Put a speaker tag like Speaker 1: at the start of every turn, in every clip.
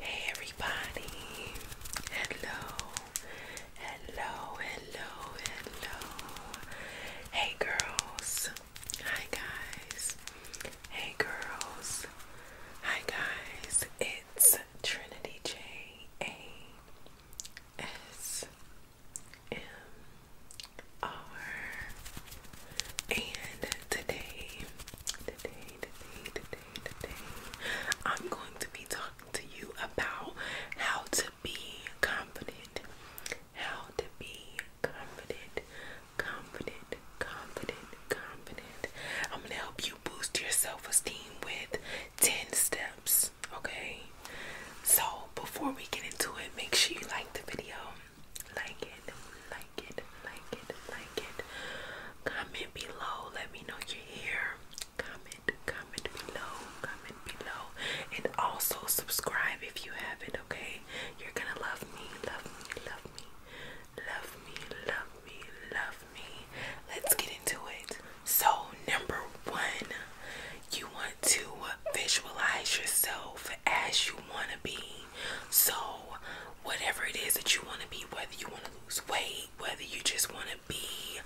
Speaker 1: Hey everybody. Hello. Hello. Hello. Hello. Hey girls. Hi guys. Hey girls. Hi guys. It's Trinity J A S M and today, today, today, today, today, I'm going to be talking to you about how to be confident. How to be confident, confident, confident, confident. I'm going to help you boost your self esteem with 10 steps, okay? So, before we get into it, make sure you like the video, like it, like it, like it, like it. Comment below. Let me know you're here. Comment, comment below, comment below. And also subscribe if you haven't, okay? You're gonna love me, love me, love me, love me, love me, love me. Let's get into it. So, number one, you want to visualize yourself as you want to be. So, whatever it is that you want to be, whether you want to lose weight, whether you just want to be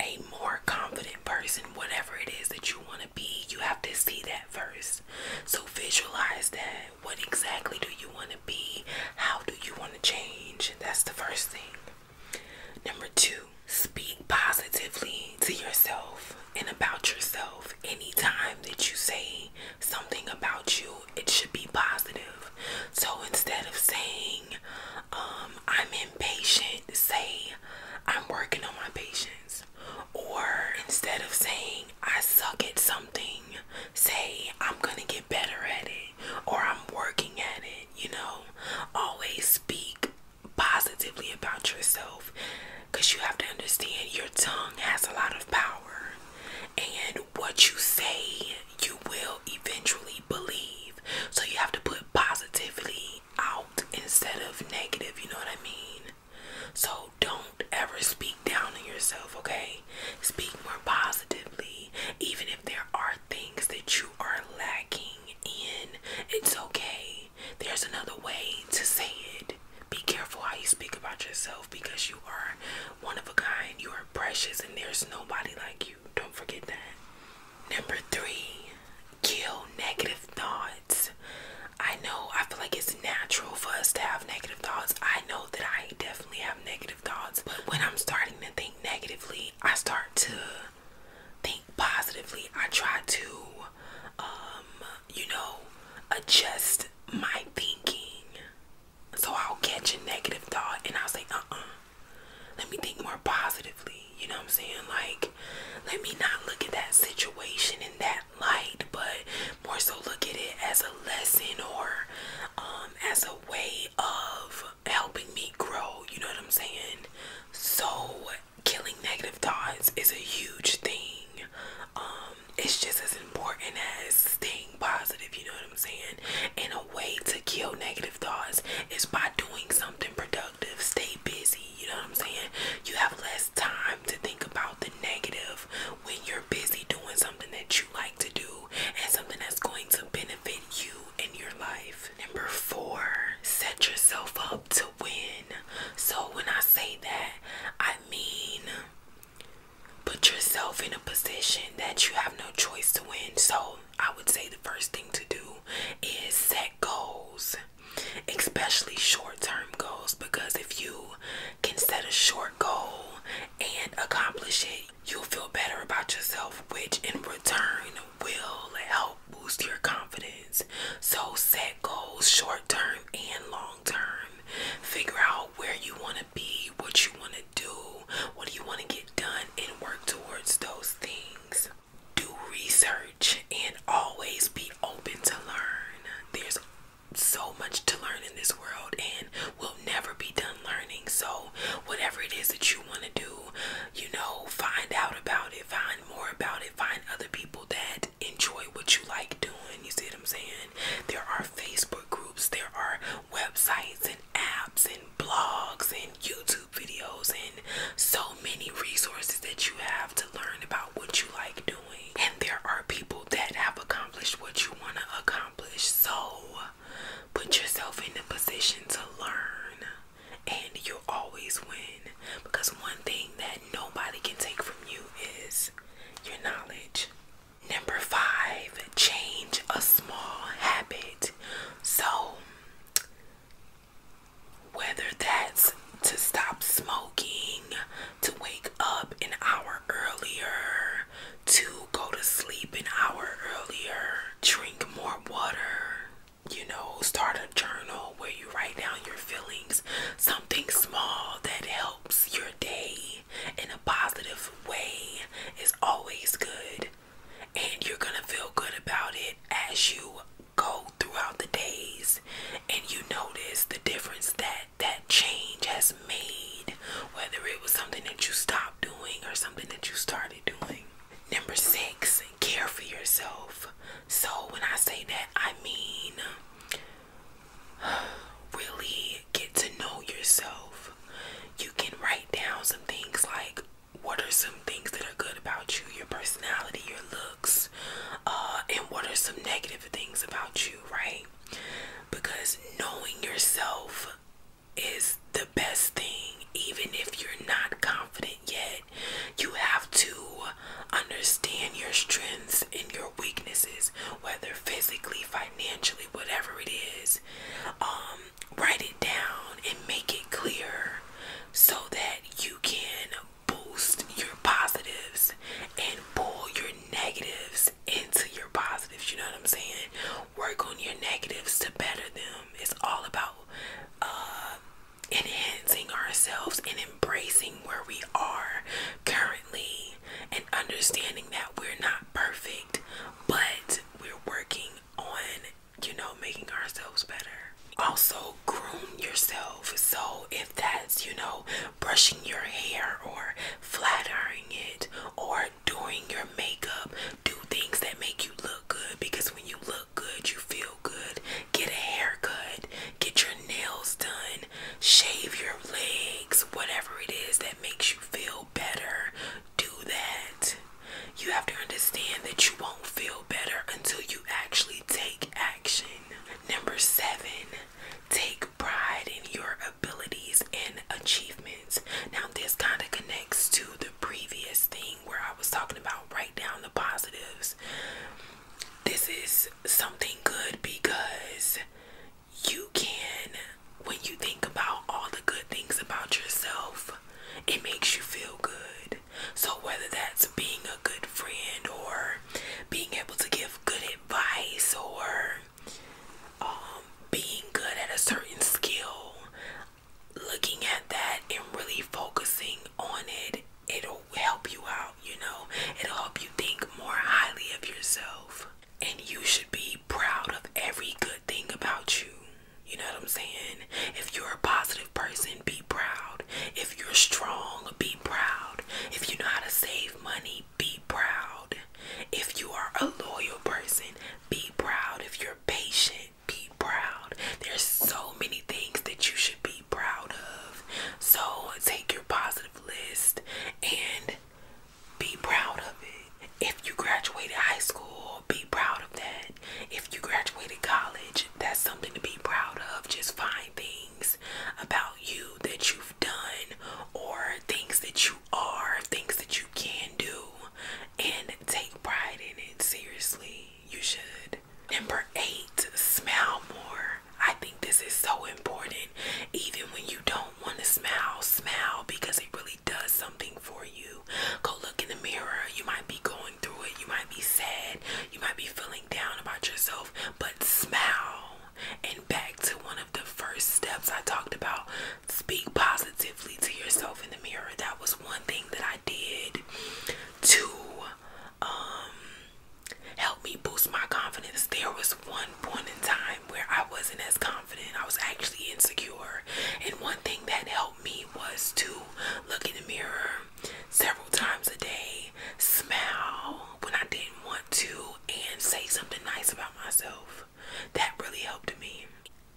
Speaker 1: a more confident person, whatever it is that you want to be, you have to see that first. So, visualize that. What exactly do you want to be? How do you want to change? That's the first thing. Number two, speak positively to yourself and about yourself. Anytime that you say something about you, it should be positive. So instead of saying, um, I'm impatient, say, I'm working on my patience. Or instead of saying, I suck at something, say, I'm gonna get better at it, or I'm working at it. You know, always speak positively about yourself because you have to understand your tongue has a lot of power and what you say you will eventually believe so you have to put positivity out instead of negative you know what i mean so don't ever speak down on yourself okay speak more positively even if there are things that you are lacking in it's okay there's another way to say it. Be careful how you speak about yourself because you are one of a kind. You are precious and there's nobody like you. Don't forget that. Number three, kill negative thoughts. I know I feel like it's natural for us to have negative thoughts. I know that I definitely have negative thoughts, but when I'm starting to think negatively, I start to think positively. I try to um, you know, adjust my thinking. So I'll catch a negative thought and I'll say, uh uh. Let me think more positively. You know what I'm saying? Like, let me not look at that situation in that light, but more so look at it as a lesson or um, as a way of helping me grow. You know what I'm saying? So killing negative thoughts is a huge thing. Um, it's just as important as staying positive, you know what I'm saying? And a way to kill negative thoughts is by doing something productive. Stay busy, you know what I'm saying? You have less time to think about the negative when you're busy doing something that you like to do and something that's going to benefit you in your life. Number four, set yourself up to win. So when I say that, I mean put yourself in a position that you have no choice to win. So I would say the first thing to do is set goals, especially short term goals, because if you can set a short goal and accomplish it, you'll feel better about yourself, which in return will help boost your confidence. So set goals short term and long term. Figure out where you want to be, what you want to do, what do you want to get done, and work towards those things. Do research and always be open to learn. There's so much to learn in this world, and we'll never be done learning. So, whatever it is that you want to do, you know, find out about it, find more about it. Find other people that enjoy what you like doing. You see what I'm saying? There are Facebook groups, there are websites and apps and blogs and YouTube videos and so many resources that you have to learn about what you like doing. And there are people that have accomplished what you want to accomplish. So put yourself in a position to learn and you will always win because one thing that nobody can take from you is your knowledge. Number five, change a small habit. So, whether that's to stop smoking, to wake up an hour earlier, to go to sleep an hour earlier, drink more water, you know, start a journal where you write down your feelings, something small that helps your day in a positive way is always good, and you're gonna feel good about it as you go throughout the days and you notice the difference that that change has made, whether it was something that you stopped doing or something that you started doing. Number six, care for yourself. So when I say that, I mean really get to know yourself. You can write down some things like what are some things that are good about you, your personality, your looks, uh, and what are some negative things about you, right? Because knowing yourself is the best thing, even if you're not confident yet you have to understand your strengths and your weaknesses, whether physically, financially, whatever it is. Um, write it down and make it clear so that you can boost your positives and pull your negatives into your positives. You know what I'm saying? Work on your negatives to better them. It's all about uh, enhancing ourselves and embracing where we are currently and understanding that we're not perfect, but we're working on, you know, making ourselves better. Also, groom yourself. So, if that's, you know, brushing your hair or flattering it or doing your makeup, do things that make you look good because when you look good, you feel good. Get a haircut, get your nails done, shave your legs, whatever it is that makes you feel better, do that. You have to understand that you won't feel better until you actually take action. Number seven, take pride in your abilities and achievements. Now, this kind of connects to the previous thing where I was talking about. Right down the positives. This is something good because you can, when you think about all the good things about yourself, it makes you feel good. So, whether that's being a good friend or being able to give good advice or um, being good at a certain skill, looking at that and really focusing on it, it'll help you out, you know, it'll help you think more highly of yourself. And you should be proud of every good thing about you. You know what I'm saying? If you're a positive person, be proud. If you're strong, be proud. If you know how to save money, be proud. If you are a loyal person, be proud. If you're patient, be proud. There's so many things that you should be proud of. So take your positive list and be proud of it. If you graduated high school, be proud of that. If you graduated college, that's something to be proud of. Just find things about you that you've done or things that you are, things that you can do, and take pride in it seriously you should. Number eight, smile more. I think this is so important. Even when you don't want to smile, smile because it really does something for you. Go look in the mirror. You might be going through it, you might be sad, you might be feeling down about yourself, but smile. And back to one of the first steps I talked about, speak positively to yourself in the mirror. That was one thing that I did to um, help me boost my confidence. There was one point in time where I wasn't as confident. I was actually insecure. And one thing that helped me was to look in the mirror several times a day, smile when I didn't want to, and say something nice about myself. That really helped me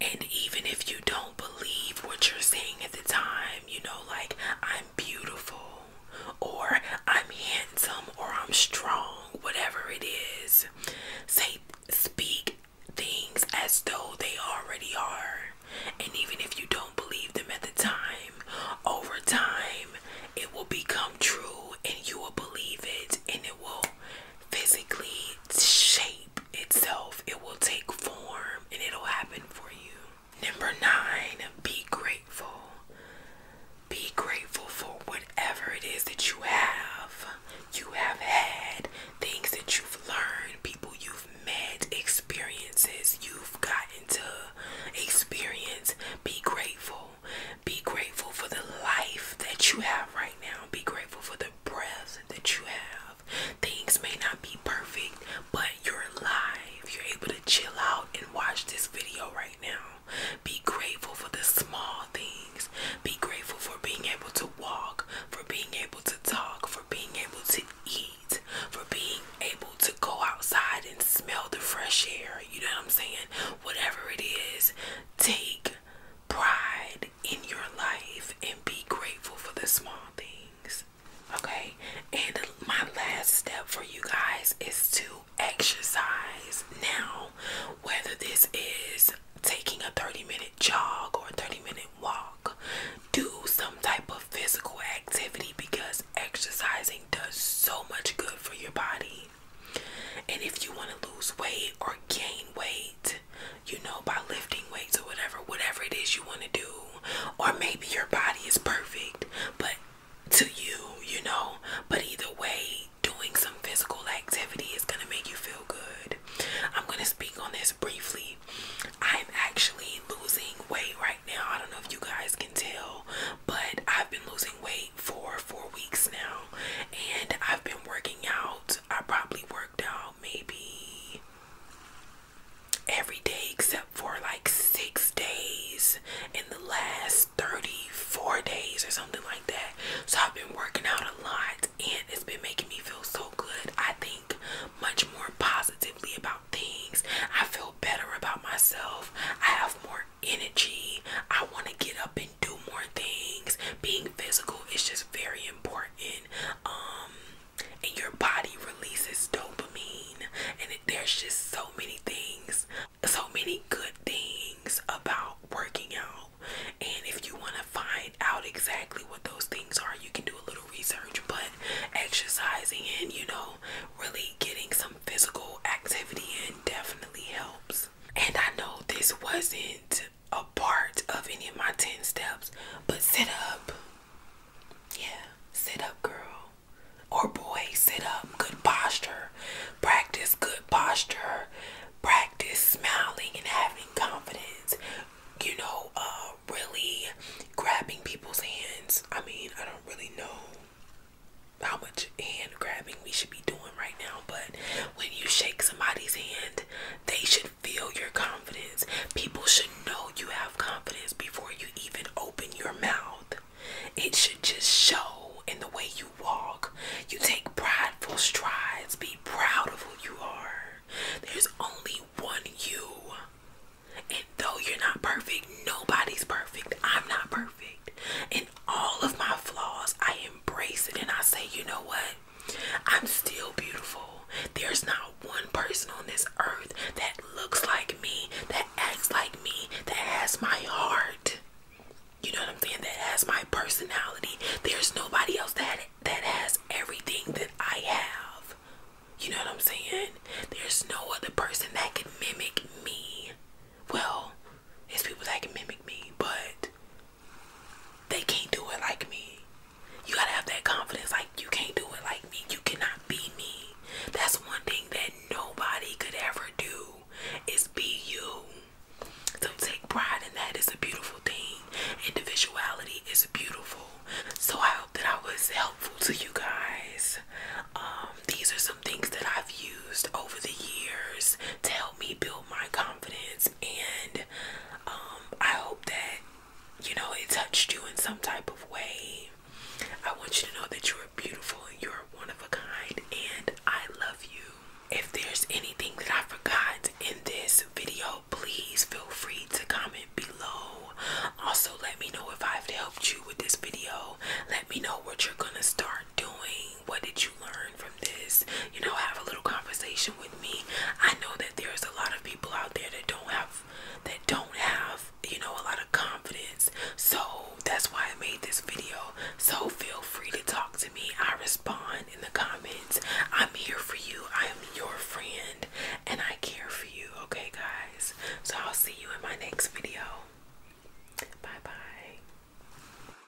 Speaker 1: and even if you don't believe what you're saying at the time, you know, like I'm beautiful or I'm handsome or I'm strong, whatever it is, say, speak things as though they already are. And even if you don't believe them at the time, over time, it will become true and you will believe it and it will physically shape itself, it will take form and it'll happen for you. Number nine, be grateful. Be grateful for whatever it is that you have. You have had things that you've learned, people you've met, experiences you've gotten to experience. Be grateful. Be grateful for the life that you have right now. Be grateful for the breath that you have. Things may not be perfect, but you're alive. You're able to chill out and watch this video right now. Be grateful for the small things. Be grateful for being able to walk, for being able to talk, for being able to eat, for being able to go outside and smell the fresh air. You know what I'm saying? Whatever it is, take pride in your life and be grateful for the small things. Okay, and my last step for you guys is to exercise now, whether this is taking a 30 minute jog or a 30 minute walk, do some type of physical activity because exercising does so much good for your body. And if you want to lose weight or gain weight, you know, by lifting weights or whatever, whatever it is you want to do, or maybe your body is perfect, but to you, you know, but either way, doing some physical activity is going to make you feel good. I'm going to speak on this briefly. I'm actually losing weight right now. I don't know if you guys can tell, but I've been losing weight for four weeks now, and I've been working out. I probably worked out maybe every day except for like six days in the last 34 days or something like that. So I've been working out a lot and it's been making me feel so good. I think much more positively about things. I feel better about myself. I have more energy. I want to get up and do more things. Being physical is just very important. Um, and your body releases dopamine, and there's just so many things, so many good things about working out. And if you want to find out exactly what those things are, you can do a little research. But exercising and you know, really getting some physical activity in definitely helps. And I know this wasn't a part of any of my 10 steps, but sit up. Yeah, sit up, girl. Or boy, sit up. Good posture. Practice good posture. Practice smiling and having confidence. You know, uh, really grabbing people's hands. I mean, I don't really know how much hand grabbing we should be doing right now, but when you shake somebody's hand, they should feel your confidence. People should know you have confidence before you even open your mouth. It should just show in the way you walk. You take prideful strides. Be proud of who you are. There's only one you. And though you're not perfect, nobody's perfect. I'm not perfect. And all of my flaws, I embrace it and I say, you know what? I'm still beautiful. There's not one person on this earth that looks like me, that acts like me, that has my heart. You know what I'm saying? That has my personality. There's nobody else that that has everything that I have. You know what I'm saying? There's no other person that can mimic me. Well, it's people that can mimic me, but they can't do it like me. You gotta have that confidence, like you can't do it like me. You cannot be me. That's one thing that nobody could ever do is be you. So take pride in that. It's a beautiful thing. Individuality is beautiful. So I hope that I was helpful to you guys. Um, these are some things that I've used over the years to help me build my confidence and um, I hope that you know it touched you in some type of way. I want you to know that you are beautiful and you're one of a kind and I love you. If there's anything that I forgot in this video, please feel free to comment below. Also, let me know if I've helped you with this video. Let me know what you're gonna start doing what did you learn from this? You know, have a little conversation with me. I know that there's a lot of people out there that don't have that don't have, you know, a lot of confidence. So that's why I made this video. So feel free to talk to me. I respond in the comments. I'm here for you. I am your friend and I care for you. Okay, guys. So I'll see you in my next video. Bye bye.